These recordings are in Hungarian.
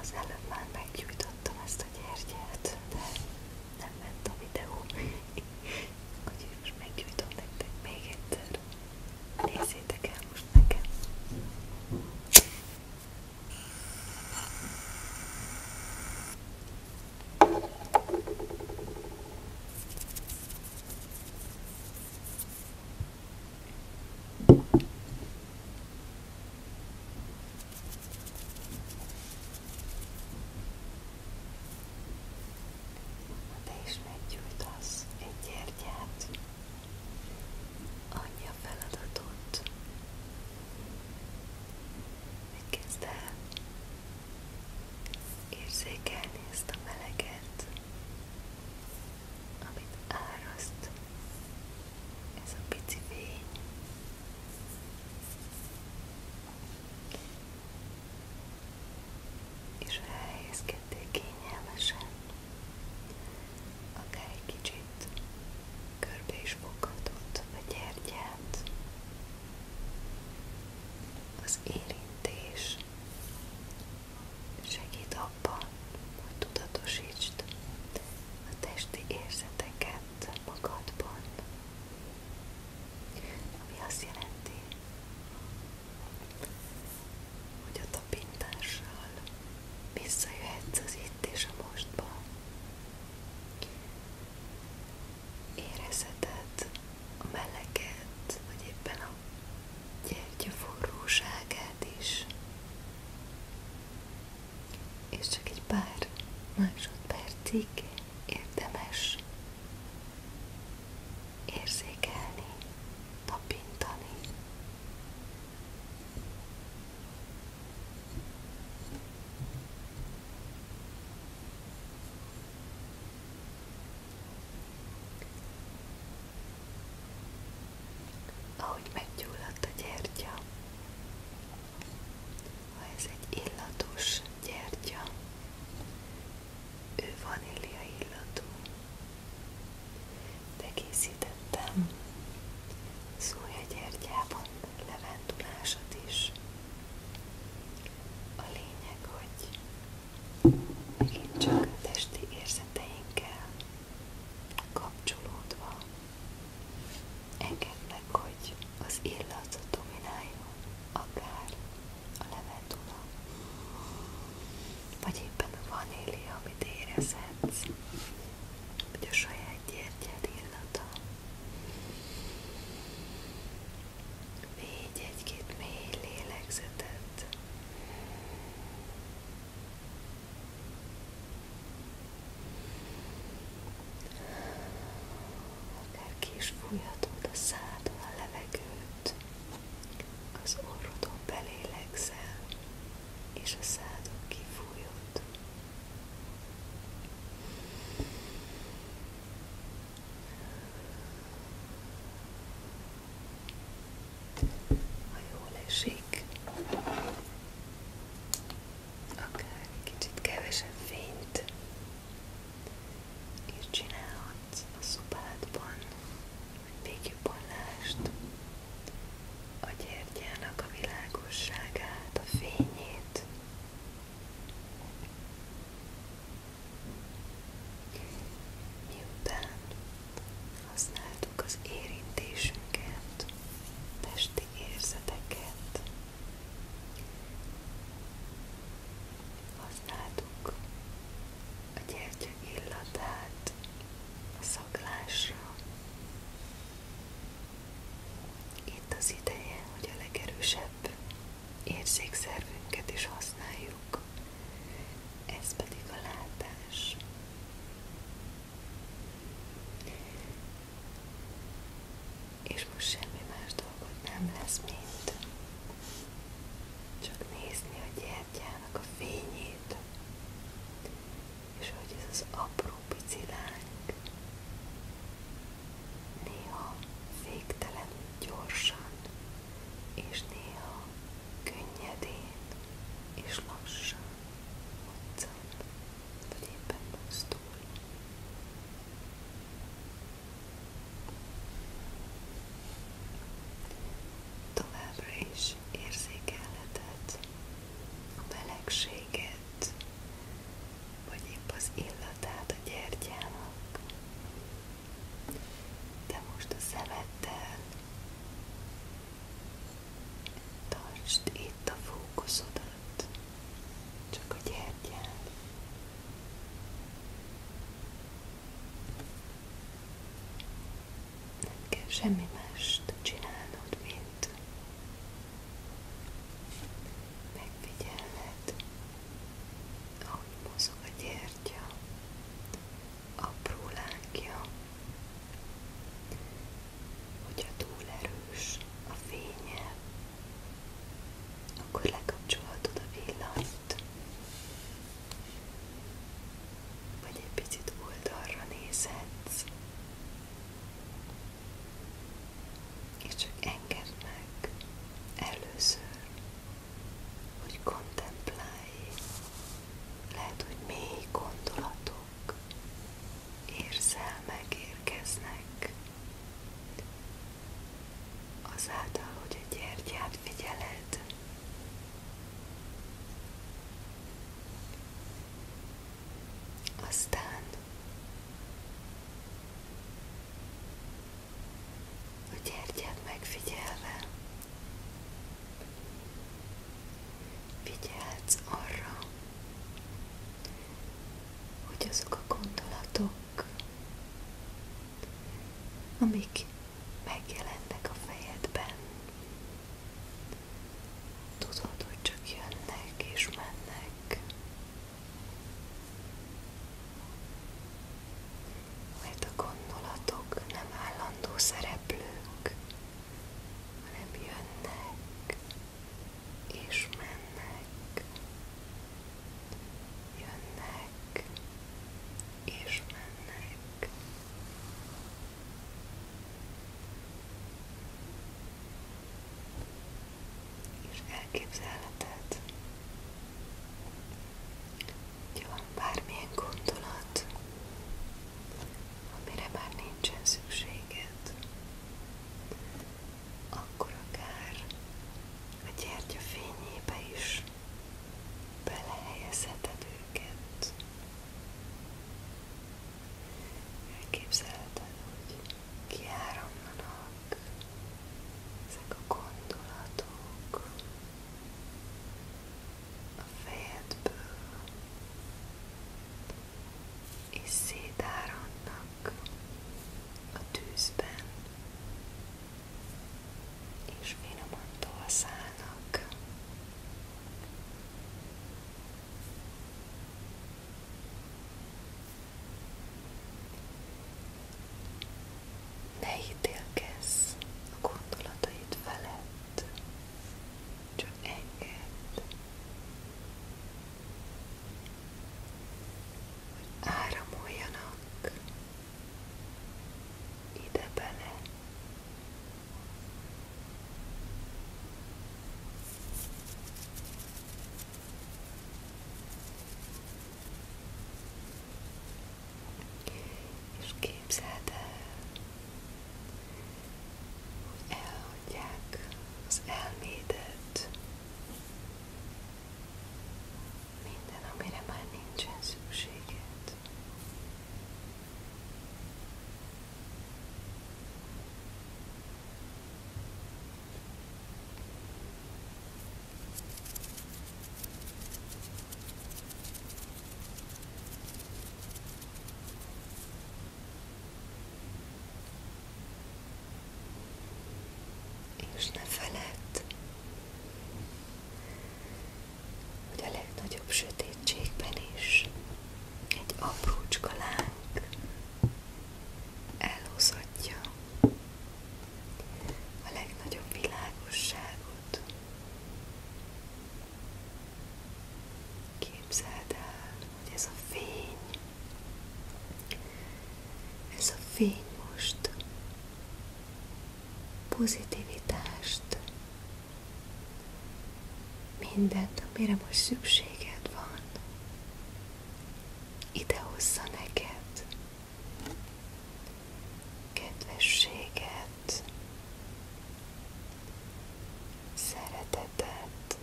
Az előbb már meggyújtottam ezt a gyertyát, de nem ment a videó. Úgyhogy most meggyújtom nektek még egyszer. Nézzétek el most nekem! Te is meggyújtasz egy gyertyát, annyi a feladatod, hogy amit áraszt ez a pici fény. És ha elhelyezkedtél kényelmesen, akár egy kicsit körbe is foghatod a gyertyát, az érintés segít abban, hogy tudatosítsd a testi érzeteket magadban, ami azt jelenti, hogy a tapintással visszajöhetsz az itt és a mostba. Érezheted a meleget, vagy éppen a gyertya forróságát is és csak egy pár másodpercig érdemes érzékelni, tapintani ahogy meggyulladt a gyertya. Ha ez egy illatos gyertya, ő vanília illatú. De készítettem szójagyertyában levendulásat is. A lényeg, hogy megint csak a testi érzeteinkkel kapcsolódva. Engednek, hogy az illat domináljon, akár a levendula, vagy éppen a vanília, amit érezhetsz, vagy a saját gyertyád illata. Végy egy-két mély lélegzetet. Akár ki is fújhatod a szádon a levegőt, az orrodon belélegzel, és a szádon kifújod ha jól esik, akár kicsit kevesebb fényt és csinálhatsz a szobádban, hogy még jobban lásd a gyertyának a világosságát, a fényét. Miután Használtuk az érintésünket, testi érzeteket, használtuk a gyertya illatát a szaglásra. Itt az ideje, hogy a legerősebb érzékszervünket is használjuk, ez pedig a látás. És most semmi más dolgot nem lesz, mint csak nézni a gyertyának a fényét, és hogy ez az apró pici láng néha végtelen gyorsan, és néha könnyedén és lassan utcán, vagy éppen mozdul. Továbbra is érzékelheted a melegséget, vagy épp az illatát a gyertyának. De most a szemeddel Tartsd itt a fókuszodat, csak a gyertyán. Nem kell semmi mást csinálnod, mint megfigyelned, ahogy mozog a gyertya, apró lángja, Hogyha túl erős a fénye, akkor lekapcsolhatod a villanyt, vagy egy picit oldalra nézhetsz, és csak engedd meg először, hogy kontemplálj, lehet, hogy mély gondolatok, gondok, érzelmek érkeznek. Azáltal, hogy a gyertyát figyeled, aztán a gyertyát megfigyelve Figyelhetsz arra, hogy azok a gondolatok, amik megjelennek a fejedben, tudod, hogy csak jönnek és mennek. Mert a gondolatok nem állandó szereplők, hanem jönnek és mennek, jönnek és mennek. És elképzelheted, hogy van bármilyen gondolat, amire már nincsen szükséged, akkor akár a gyertya fényébe is belehelyezheted őket. Elképzelheted, hogy kiáramlanak ezek a gondolatok, fejedből, és szétáradnak a tűzben, és finoman tolszálnak. Ne ítélkezz a gondolataid felett, csak enged, hogy áramoljanak ide bele. És képzeld el, elhagyják az elmédet, minden, amire már nincsen szükséged. És ne feledd, hogy a legnagyobb sötétségben is egy aprócska láng elhozhatja a legnagyobb világosságot. Képzeld ez a fény, ez a fény most pozitivitást, mindent, amire most szükséged van, ide hozza neked, kedvességet, szeretet, szeretetet,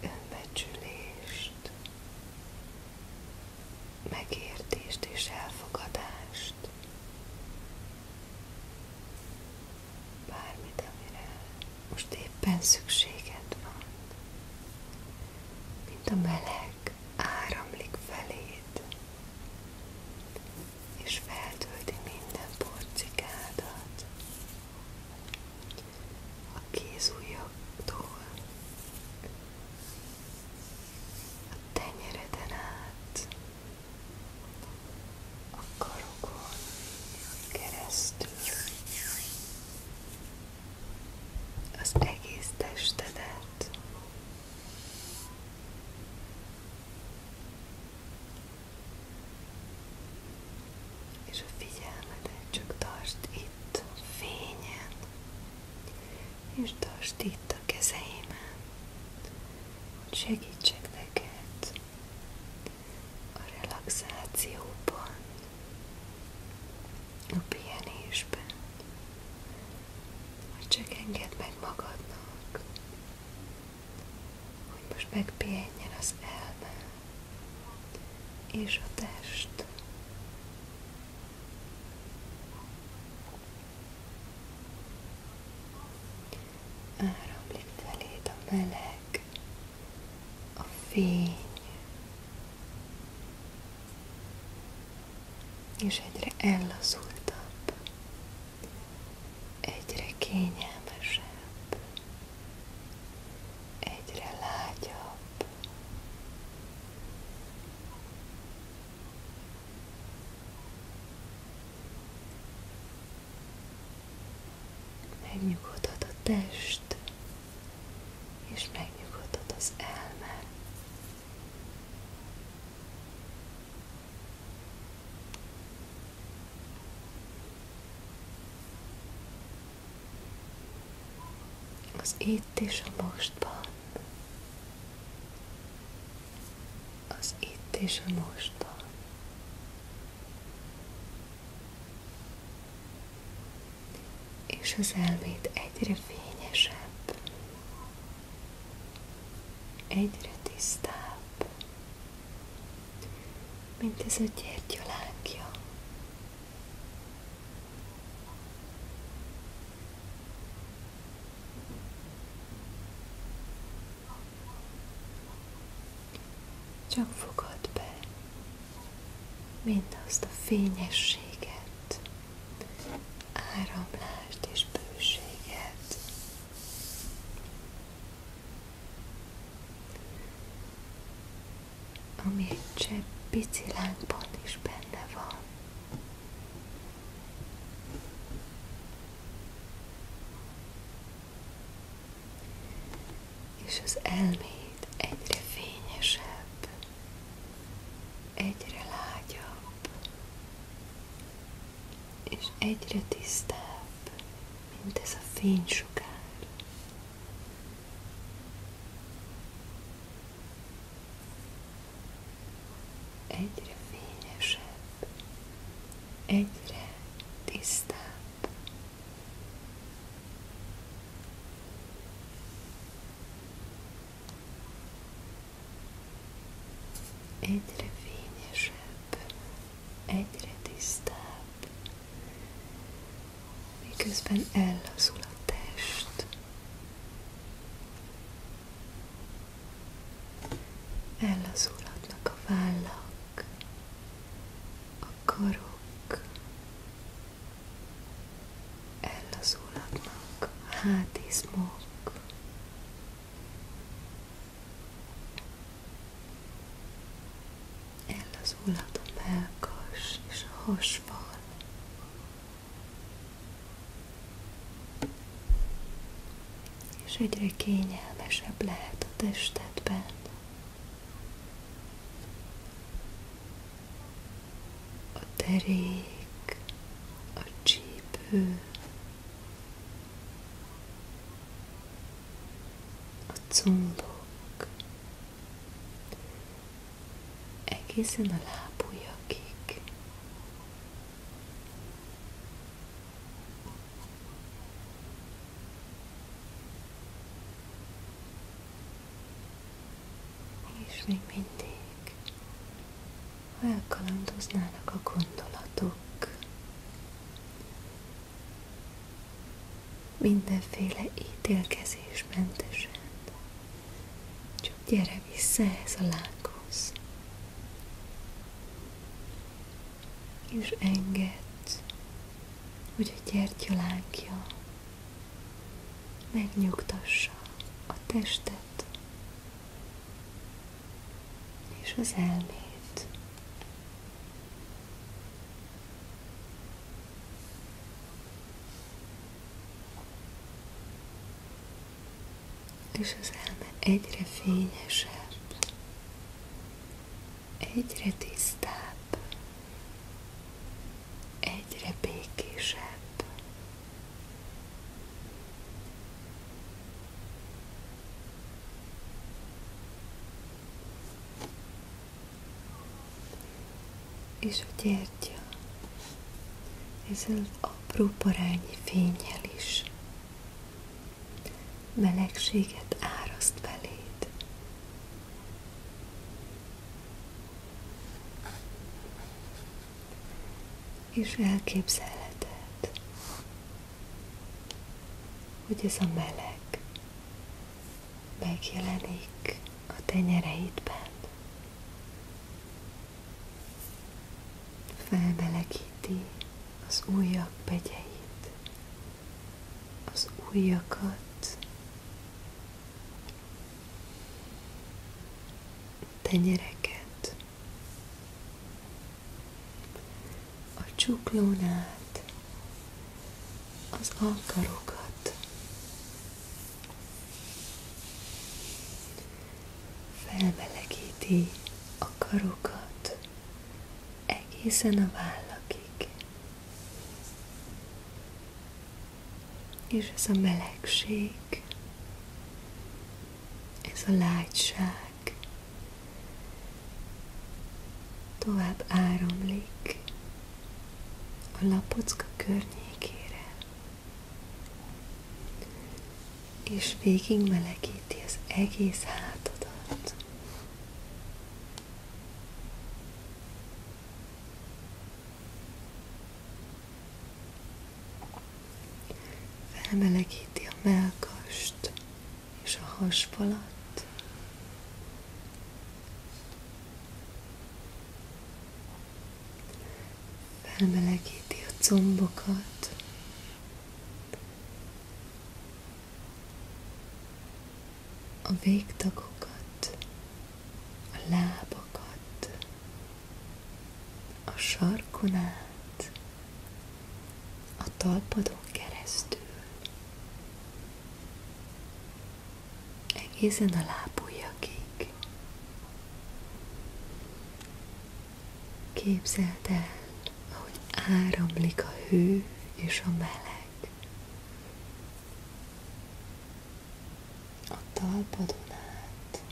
önbecsülést, megértést és elfogadást, bármit, amire most éppen szükséged van, mint a meleg áramlik feléd, és feltölti minden porcikádat a kézujjaktól a tenyereden át a karokon keresztül az egész testedet és a figyelmedet csak tartsd itt a fényen, és tartsd itt a kezeimen, hogy segítsek neked a relaxációban, a pihenésben, hogy csak engedd meg magadnak, hogy most megpihenjen az elme és a test. Áramlik feléd a meleg, a fény, és egyre ellazultabb egyre kényelmesebb, egyre lágyabb. Megnyugodhat a test, és megnyugodhat az elme. Az itt és a mostban. Az itt és a mostban. És az elmét egyre fényesebb egyre tisztább, mint ez a gyertyalánkja. Csak fogad be mindazt a fényességet, áramlást és bőséget, ami egy csepp pici lángban is benne van. És az elméd egyre fényesebb, egyre lágyabb, és egyre tisztább, mint ez a fénysugár. Egyre fényesebb, egyre tisztább egyre fényesebb, egyre tisztább, miközben ellazul a test. Ellazulhatnak a vállak, a karok, ellazulhatnak a hátizmok, Ellazulhat a melkas és a És egyre kényelmesebb lehet a testedben. A derék, a csípő, a combok egészen a lábujjakig. És még mindig ha elkalandoznának a gondolatok. Mindenféle ítélkezésmentesen. Csak gyere vissza ehhez a lánghoz. És engedd, hogy a gyertyalánkja megnyugtassa a testet, és az elmét. És az elme egyre fényesebb, egyre tisztább, egyre békésebb. És a gyertya ezzel az apró parányi fényel is melegséget áraszt beléd és elképzelheted, hogy ez a meleg megjelenik a tenyereidben. Felmelegíti az újak begyeit, az újakat, tenyereket, a csuklón az alkarokat, felmelegíti a karokat egészen a vállakig. És ez a melegség, ez a lágyság, világ tovább áramlik a lapocka környékére, és végig melegíti az egész hátadat. Felmelegíti a melkast, és a hasfalat. Felmelegíti a combokat. a végtagokat, a lábakat, a sarkon át a talpadon keresztül egészen a lábujjakig. Képzeld el, ahogy áramlik a hő és a meleg. A talpadon át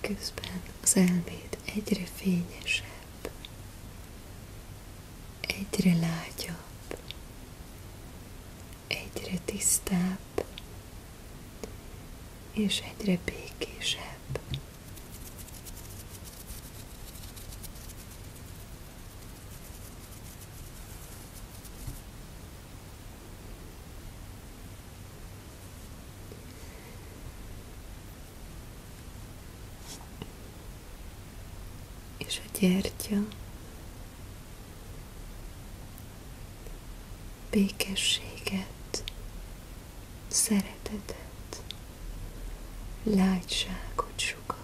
Közben az elméd egyre fényesebb, egyre lágyabb, egyre tisztább, és egyre békésebb és a gyertya békességet szeretetet, lágyságot sugal.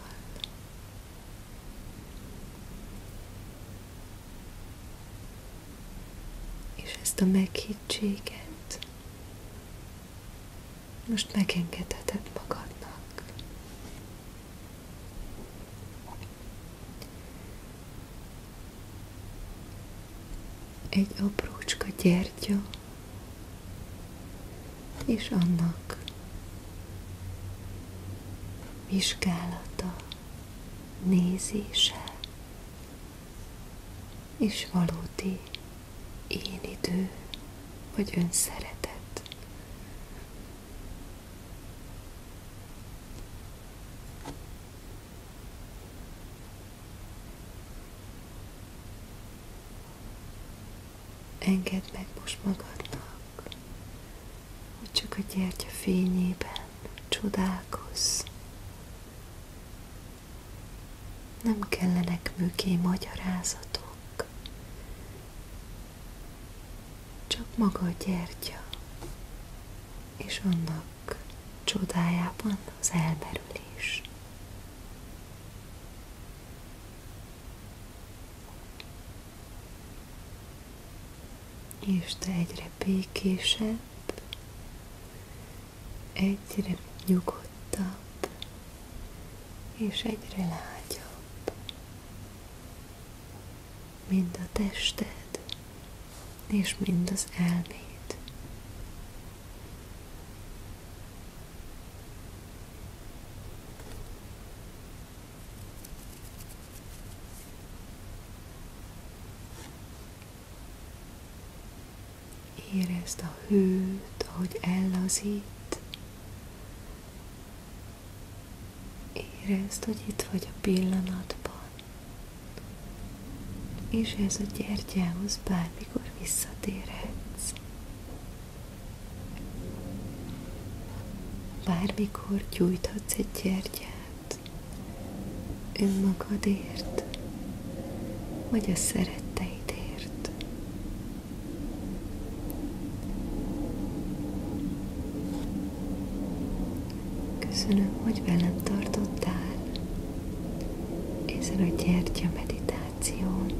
És ezt a meghittséget most megengedheted magadnak egy aprócska gyertya, és annak vizsgálata, nézése, és valódi én idő, vagy önszeretet. Engedd meg most magadnak, hogy csak a gyertya fényében csodálkozz. Nem kellenek mögé magyarázatok, csak maga a gyertya, és annak csodájában az elmerülés. És te egyre békésebb, egyre nyugodtabb, és egyre lágyabb, mind a tested, és mind az elméd. Érezd a hőt, ahogy ellazít. Érezd, hogy itt vagy a pillanatban. És ez a gyertyához bármi Bármikor gyújthatsz egy gyertyát önmagadért, vagy a szeretteidért. Köszönöm, hogy velem tartottál ezen a gyertya meditációban meditáción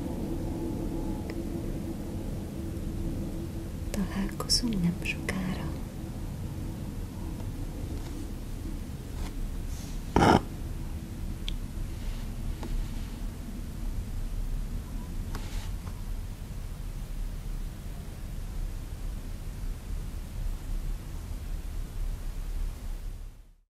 találkozunk nem sokára.